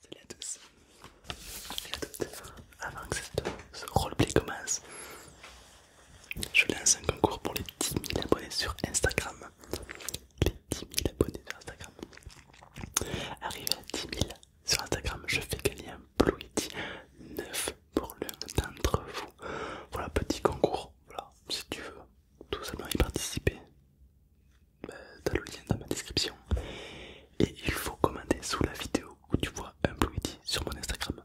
Salut à tous à toutes. Avant que ce roleplay commence, je lance un concours pour les 10 000 abonnés sur Instagram. Les 10 000 abonnés sur Instagram. Arrivé à 10 000 sur Instagram, je fais gagner un Blue Yeti 9 pour l'un d'entre vous. Voilà, petit concours. Voilà, si tu veux, tout simplement y participer. T'as euh, le lien dans ma description. Et il faut commenter sous la vidéo où tu vois un Blueity sur mon Instagram.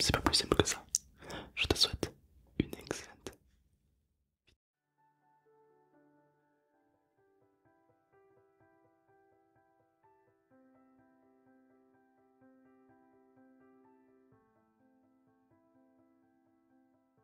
C'est pas plus simple que ça. Je te souhaite une excellente.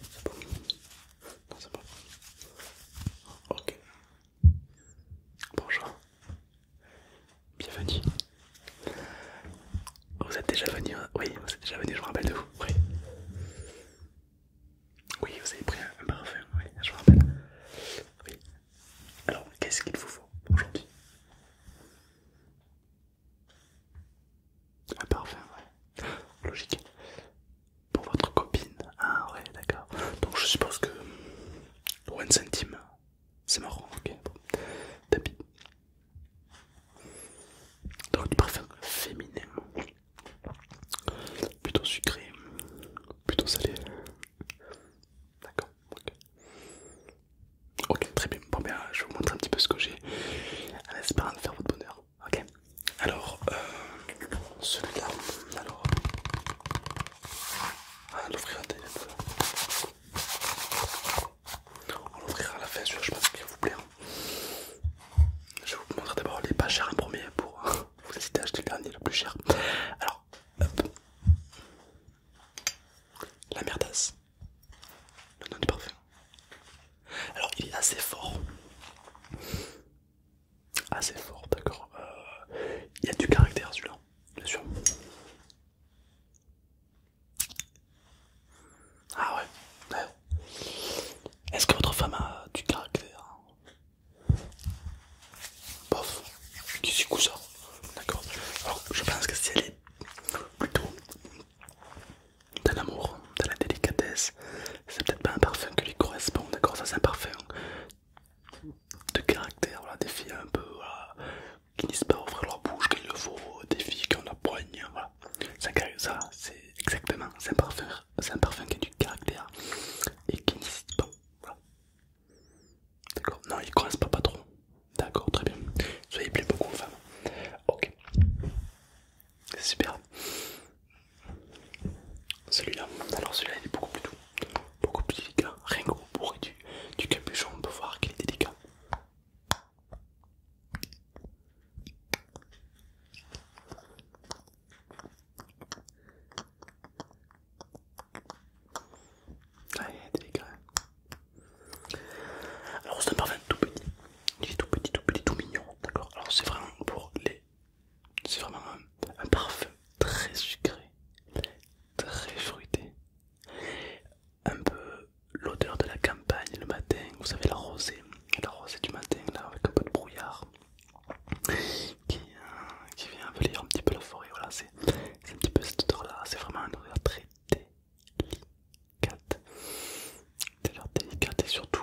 C'est bon. Non, c'est bon. Ok. Bonjour. Bienvenue. Vous êtes déjà venu hein? Oui, vous êtes déjà venu, je me rappelle de vous. Oui. Oui, vous avez pris un parfum, oui, je vous rappelle. Oui. Alors, qu'est-ce qu'il vous faut aujourd'hui Un parfum, ouais. Logique. Pour votre copine Ah ouais d'accord. Donc je suppose que... 1 centime. C'est marrant, ok. Tapis. Donc du parfum féminin. Plutôt sucré. Plutôt salé. D'accord, ok. très bien. Bon, bien, je vais vous montrer un petit peu ce que j'ai en espérant de faire votre bonheur. Ok. Alors, euh, celui-là, alors, ah, on l'ouvrira On à la fin, je pense qu'il vous plaire. Je vais vous montrer d'abord les pas chers en premier pour euh, vous hésiter à acheter le dernier, le plus cher. Alors, La merdasse, le nom du parfum. Alors, il est assez fort. Assez fort, d'accord. Il euh, y a du caractère celui-là, bien sûr. Ah ouais, Est-ce que votre femme a du caractère hein Bof, qui coup ça D'accord. Alors je pense que si elle est plutôt d'un amour dans la délicatesse. C'est peut-être pas un parfum qui lui correspond, d'accord Ça, c'est un parfum de caractère, des filles un peu qui n'hésitent pas à ouvrir leur bouche qu'il le faut, des filles qui ont la poigne, voilà. Ça, c'est exactement, c'est un, parfum, un parfum qui a du caractère et qui n'hésite pas, D'accord Non, il ne pas pas trop. D'accord, très bien. Soyez plus beaucoup aux femmes. Ok. C'est super. Celui-là, alors celui-là il est beaucoup plus doux, beaucoup plus délicat. Rien qu'au bourré du, capuchon, on peut voir qu'il est délicat. est délicat. Hein. Alors c'est un parfum tout petit, il est tout petit, tout petit, tout mignon, d'accord. Alors c'est vraiment pour les c'est vraiment un, parfum très sucré, très fruité. Un peu l'odeur de la campagne le matin, vous savez la rosée, la rosée du matin là avec un peu de brouillard qui, vient envelir un petit peu la forêt. Voilà, c'est un petit peu cette odeur là, c'est vraiment un odeur très délicate. Délicate et surtout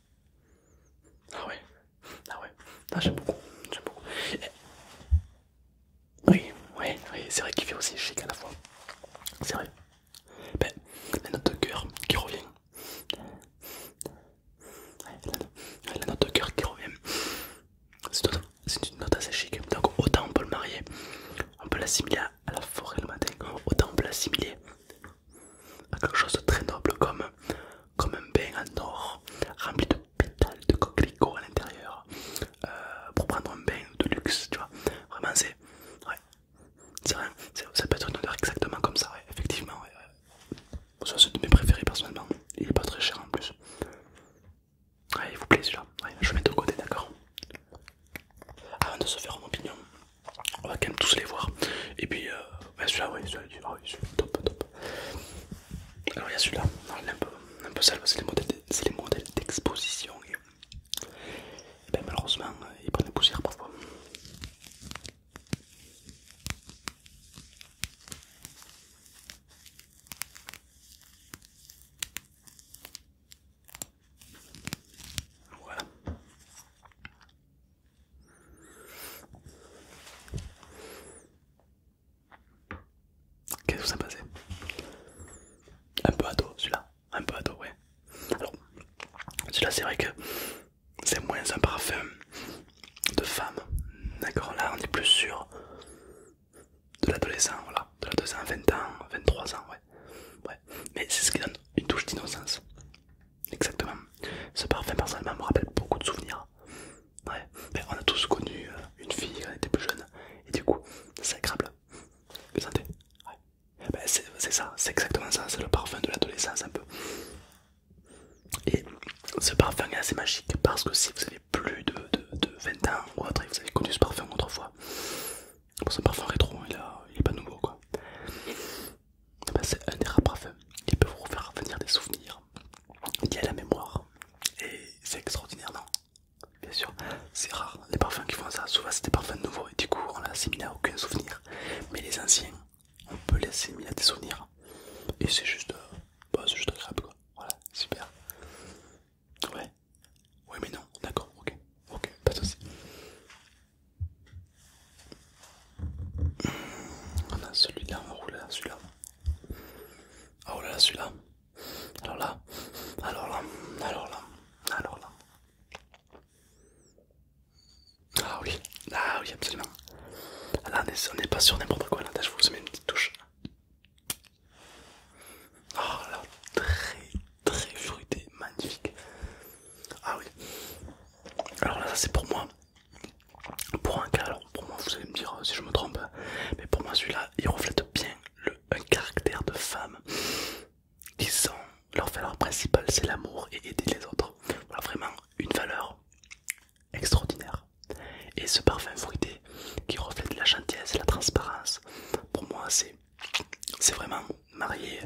ah ouais, ah ouais, ah, j'aime beaucoup, j'aime beaucoup. Eh. Oui, oui, oui, c'est vrai qu'il fait aussi chic à la fois. C'est vrai. mais ben, la note de cœur qui revient. La, la note de cœur qui revient. C'est une note assez chic. Donc autant on peut le marier, on peut l'assimiler à la forêt le matin, autant on peut l'assimiler à quelque chose de très noble comme, comme un bain en or rempli de pétales de coquelicots à l'intérieur euh, pour prendre un bain de luxe, tu vois. Vraiment, c'est. Ouais. C'est ça peut être une odeur exactement comme ça, effectivement. c'est un de mes préférés personnellement. Il est pas très cher en plus. il vous plaît celui-là. je le mets de côté, d'accord. Avant de se faire mon opinion, on va quand même tous les voir. Et puis, euh, celui-là, ah oui, celui-là, oui, celui top, top. Alors, il y a celui-là, il est un peu, sale, c'est les modèles d'exposition. Et, ben, malheureusement, euh, ils prennent la poussière parfois. Voilà. Qu'est-ce que ça passait Un peu ado celui-là, un peu dos ouais. Alors celui-là c'est vrai que c'est moins un parfum de femme, d'accord Là on est plus sûr de l'adolescent, voilà, de l'adolescent 20 ans, 23 ans, ouais ouais. mais c'est ce qui donne une touche d'innocence. Exactement. Ce parfum, personnellement, me rappelle beaucoup de souvenirs. Ouais, on a tous connu euh, une fille quand était plus jeune, et du coup, c'est agréable. Vous sentez ouais. Bah, c'est ça, c'est exactement ça, c'est le parfum de l'adolescence un peu. Et ce parfum est assez magique parce que si vous avez plus de, 20 ans ou autre et vous avez connu ce parfum autrefois, Bon, parfum rétro, hein, il, est pas nouveau quoi. Eh ben, c'est un des rares parfums, qui peut vous faire revenir des souvenirs, liés à la mémoire, et c'est extraordinaire, non Bien sûr, c'est rare les parfums qui font ça, souvent c'est des parfums nouveaux et du coup on l'assimile à aucun souvenir, mais les anciens, on peut les assimiler à des souvenirs, et c'est juste, euh, bah, juste agréable quoi, voilà, super. Ouais, ouais mais non, d'accord, ok, ok, pas de soucis. On a celui-là, oh là, celui-là. Ah, oh là là, celui-là. Alors là, alors là, alors là, alors là. Ah oui, ah oui, absolument. Là, on n'est pas sur n'importe quoi, là, je vous mets une petite touche. Oh là, très très fruité, magnifique. Ah oui, alors là, ça c'est pour moi. Pour un cas, alors pour moi, vous allez me dire euh, si je me trompe, mais pour moi, celui-là il reflète bien le, caractère de femme qui sont leur valeur principale c'est l'amour et aider les autres. Voilà vraiment une valeur extraordinaire. Et ce parfum fruité qui reflète la gentillesse, et la transparence, pour moi, c'est c'est vraiment marié,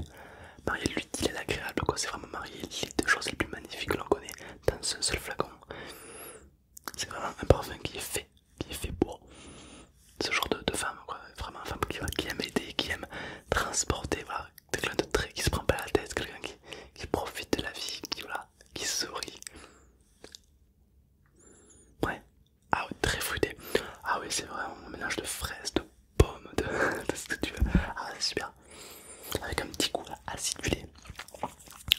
marié lui l'utile et l'agréable, quoi. C'est vraiment marié les deux choses les plus magnifiques que l'on connaît dans un seul flacon. C'est vraiment un parfum qui est fait, qui fait pour ce genre de, femme, vraiment Vraiment, femme qui, aime aider, qui aime transporter, Quelqu'un de très qui se prend pas la tête, quelqu'un qui, profite de la vie, qui, voilà, qui sourit. Ouais, ah oui très fruité. Ah oui, c'est vraiment un mélange de fraises, de pomme de, ce que tu veux. Ah, c'est super. Avec un petit goût acidulé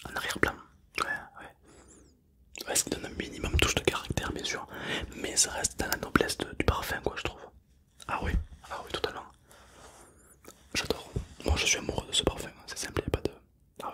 en arrière-plan. Ouais, ouais. Ouais, ça donne un minimum touche de caractère, bien sûr. Mais ça reste dans la noblesse du parfum, quoi, je trouve. Ah, oui, ah, oui, totalement. J'adore. Moi, je suis amoureux de ce parfum. C'est simple, il n'y a pas de. Ah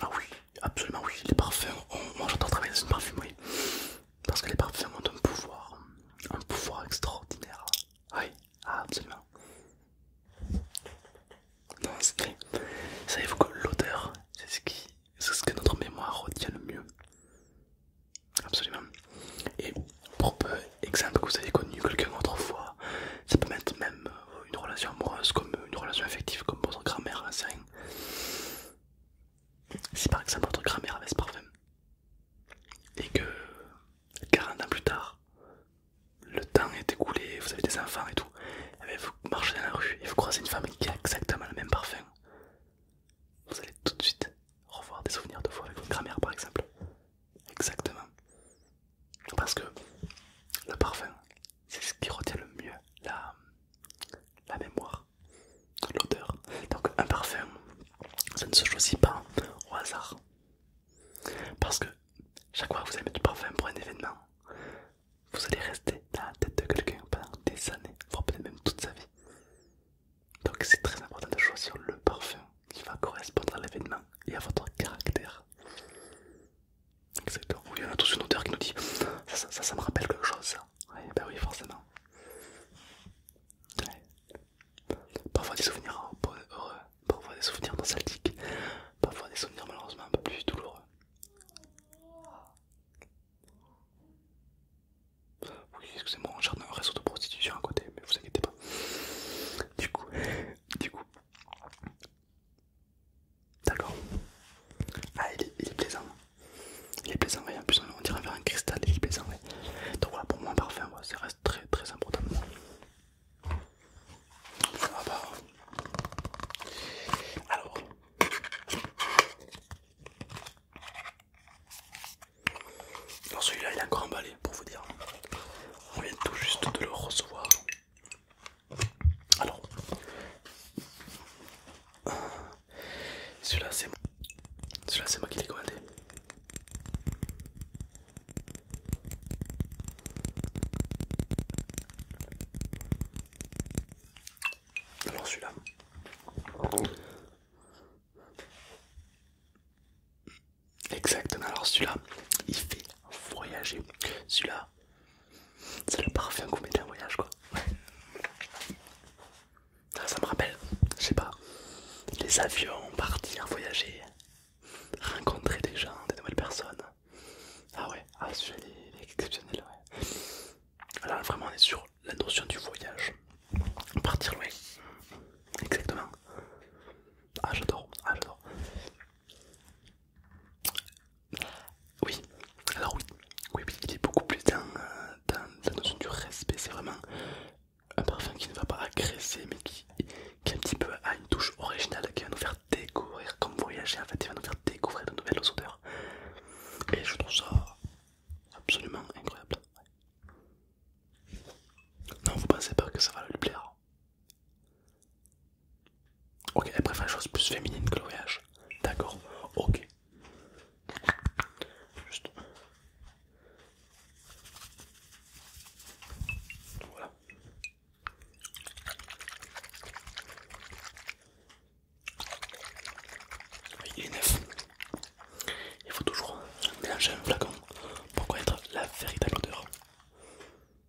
Ah oui, absolument oui, les parfums, ont... moi j'adore travailler dans une parfumerie, parce que les parfums ont un pouvoir, un pouvoir extraordinaire. Oui, absolument. Non, Savez-vous que l'odeur, c'est ce, qui... que notre mémoire retient le mieux Absolument. Et pour peu, exemple que vous avez connu quelqu'un autrefois, ça peut mettre même une relation amoureuse comme une relation affective comme votre grand-mère, hein, c'est rien. Si par exemple votre grand-mère avait ce parfum et que 40 ans plus tard, le temps est écoulé, vous avez des enfants et tout, et eh ben, vous marchez dans la rue et vous croisez une femme qui a exactement le même parfum, vous allez tout de suite revoir des souvenirs de vous avec votre grand-mère par exemple. Exactement. Parce que le parfum, c'est ce qui retient le mieux la, la mémoire, l'odeur. Donc un parfum, ça ne se choisit pas au hasard. Parce que chaque fois que vous allez mettre du parfum pour un événement, vous allez rester dans la tête de quelqu'un pendant des années, voire peut-être même toute sa vie. Donc c'est très important de choisir le parfum qui va correspondre à l'événement et à votre caractère. Exactement. Oui, on a tous une odeur qui nous dit ça, ça, ça, me rappelle quelque chose. Ça. Ben oui, forcément. Parfois des souvenirs heureux, parfois des souvenirs nostalgiques, parfois des souvenirs malheureusement un peu plus douloureux. Oui, excusez-moi, on cherche un réseau de prostitution à côté, mais vous inquiétez pas. Du coup, du coup, D'accord Ah, il est, plaisant. Il est plaisant, en plus on dirait un cristal, il est plaisant, Donc voilà, pour moi un parfum, ça reste très très important. Ah, bah. Alors. Alors celui-là il est encore emballé pour vous dire. On vient tout juste de le recevoir. Alors, celui-là, c'est moi. Celui-là, c'est moi qui l'ai commandé. Alors, celui-là. Exactement, alors celui-là, il fait voyager. Celui-là, c'est le parfum qu'on mettait en voyage quoi. Ça me rappelle, je sais pas, les avions, partir, voyager, rencontrer des gens, des nouvelles personnes. Ah ouais, ah, ce est exceptionnel. Ouais. alors vraiment on est sur la notion du voyage. Partir loin. Exactement. Ah j'adore, ah j'adore. Oui, alors oui, oui, oui, il est beaucoup plus dans, la euh, notion du respect. C'est vraiment un parfum qui ne va pas agresser, mais qui, a un petit peu a une touche originale, qui va nous faire découvrir, comme voyager en fait, il va nous faire découvrir de nouvelles odeurs. Et je trouve ça absolument incroyable. Non, vous pensez pas que ça va lui plaire Ok, elle préfère chose choses plus féminine que le voyage. D'accord, ok. Juste. Voilà. Oui, il est neuf. Il faut toujours mélanger un flacon pour connaître la véritable odeur.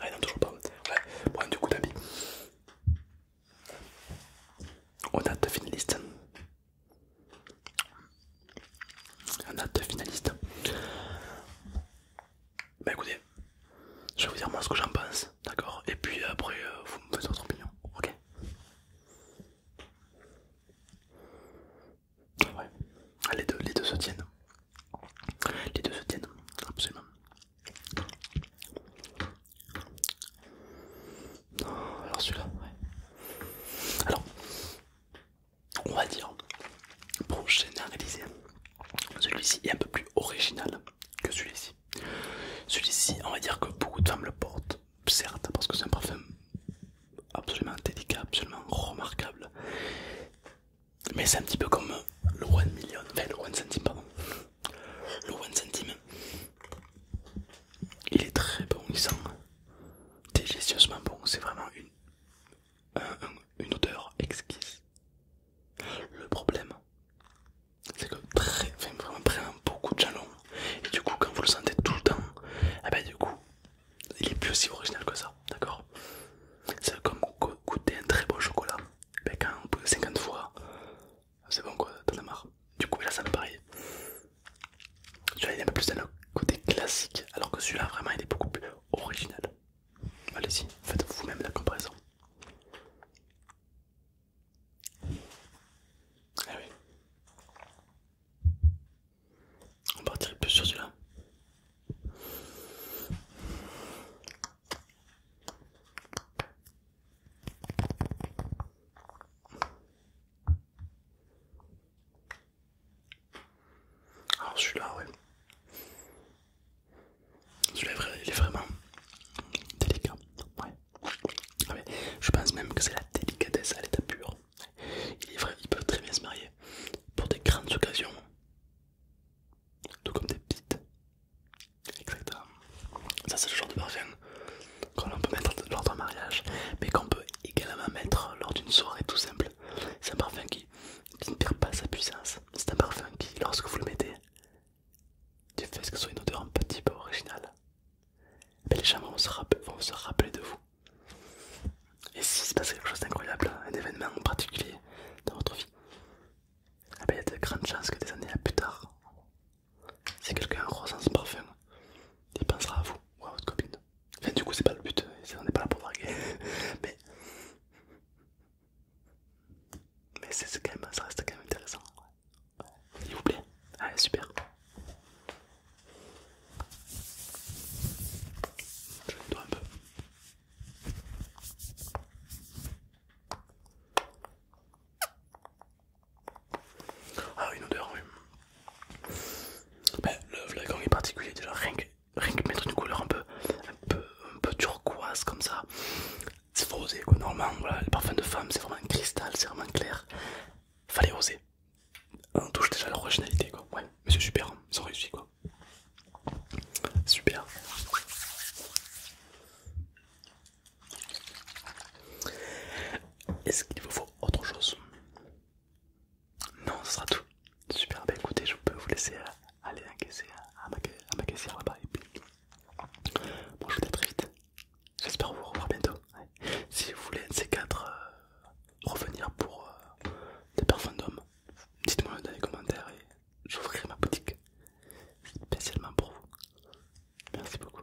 Ah non, toujours pas. Ouais, bon, du coup, d'habit. On a deux finalistes. On a deux Bah écoutez, je vais vous dire moi ce que j'en pense, d'accord Et puis euh, après, euh, vous me faites votre opinion, ok Ouais. Ah, les, deux, les deux se tiennent. Les deux se tiennent, absolument. Ah, alors celui-là, ouais. Alors, on va dire, pour généraliser, celui-ci est un peu plus original que celui-ci. Celui-ci, on va dire que beaucoup de femmes le portent, certes, parce que c'est un parfum absolument délicat, absolument remarquable. Mais c'est un petit peu comme le 1 million, enfin le One centime, Le One centime, il est très bon, il sent délicieusement bon, c'est vraiment une, une odeur exquise. Le problème, c'est que très, vraiment, prend beaucoup de jalons, et du coup quand vous le sentez tout le temps, eh ben, du coup il est plus aussi original que ça, d'accord C'est comme goûter un très beau chocolat, ben, quand on peut 50 fois, c'est bon quoi, t'en as marre. Du coup là ça me pareil. Celui-là il est un peu plus dans côté classique, alors que celui-là vraiment il est beaucoup plus original. Allez-y, faites vous-même la comparaison. Ah oui. On partirait plus sur celui-là. Alors celui-là, oui celui-là, est vraiment délicat. Ah, je pense même que c'est la délicatesse à l'état pur. Il est ils peuvent très bien se marier pour des grandes occasions, tout comme des petites. Exactement. Ça, c'est le genre de parfum qu'on peut mettre lors d'un mariage, mais qu'on peut également mettre lors d'une soirée tout simple. C'est un parfum qui ne perd pas sa puissance. C'est un parfum qui, lorsque vous le mettez, du fait que ce soit une odeur un petit peu originale, mais les gens vont se, rappeler, de vous. Et s'il se passe quelque chose d'incroyable, un événement en particulier dans votre vie, eh il y a de grandes chances que des années à plus tard, si quelqu'un ressent ce parfum, il pensera à vous ou à votre copine. Enfin, du coup, c'est pas le but, on n'est pas là pour draguer, mais, c'est quand ça reste quand même intéressant. Il vous plaît Ah super Je nettoie un peu. Ah une odeur oui. Ben, le flacon est particulier déjà, rien que, rien que mettre une couleur un peu, un peu, un peu turquoise comme ça, c'est faux, oser Normalement, voilà, le parfum de femme, c'est vraiment cristal, c'est vraiment clair. Fallait oser. On touche déjà à quoi. Ouais, mais c'est super, hein. ils ont réussi quoi. Super. Est-ce qu'il vous faut autre chose Non, ce sera tout. Super, bah écoutez, je peux vous laisser euh, aller encaisser euh, à ma caissière là-bas Bon, je vous dis à très vite. J'espère vous revoir bientôt. Si vous voulez un de ces quatre euh, revenir pour euh, des parfums d'hommes, dites-moi dans les commentaires et j'ouvrirai ma boutique spécialement pour vous. Merci beaucoup.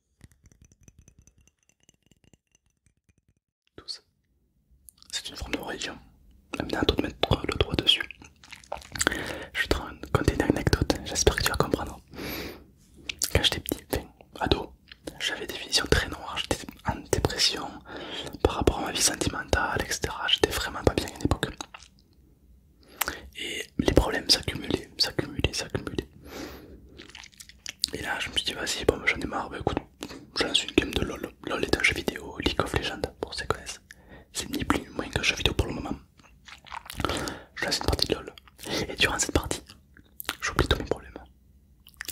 C'est une forme de religion. Maintenant, un toi de mettre le doigt dessus. Je te raconter une anecdote, j'espère que tu vas comprendre. Quand j'étais petit, ado, j'avais des visions très noires, j'étais en dépression par rapport à ma vie sentimentale, etc. J'étais vraiment pas bien à une époque. Et les problèmes s'accumulaient, s'accumulaient, s'accumulaient. Et là, je me suis dit, vas-y, bon, j'en ai marre, bah, écoute, je lance une game de LOL. LOL est un jeu vidéo, League of Legends, pour ceux qui connaissent. C'est ni plus ni moins qu'un jeu vidéo pour le moment. Je lance une partie de LOL. Et durant cette partie, j'oublie tous mes problèmes.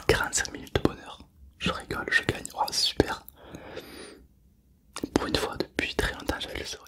45 minutes de bonheur. Je rigole, je gagne. c'est oh, super. Pour une fois, depuis très longtemps, j'avais le sourire.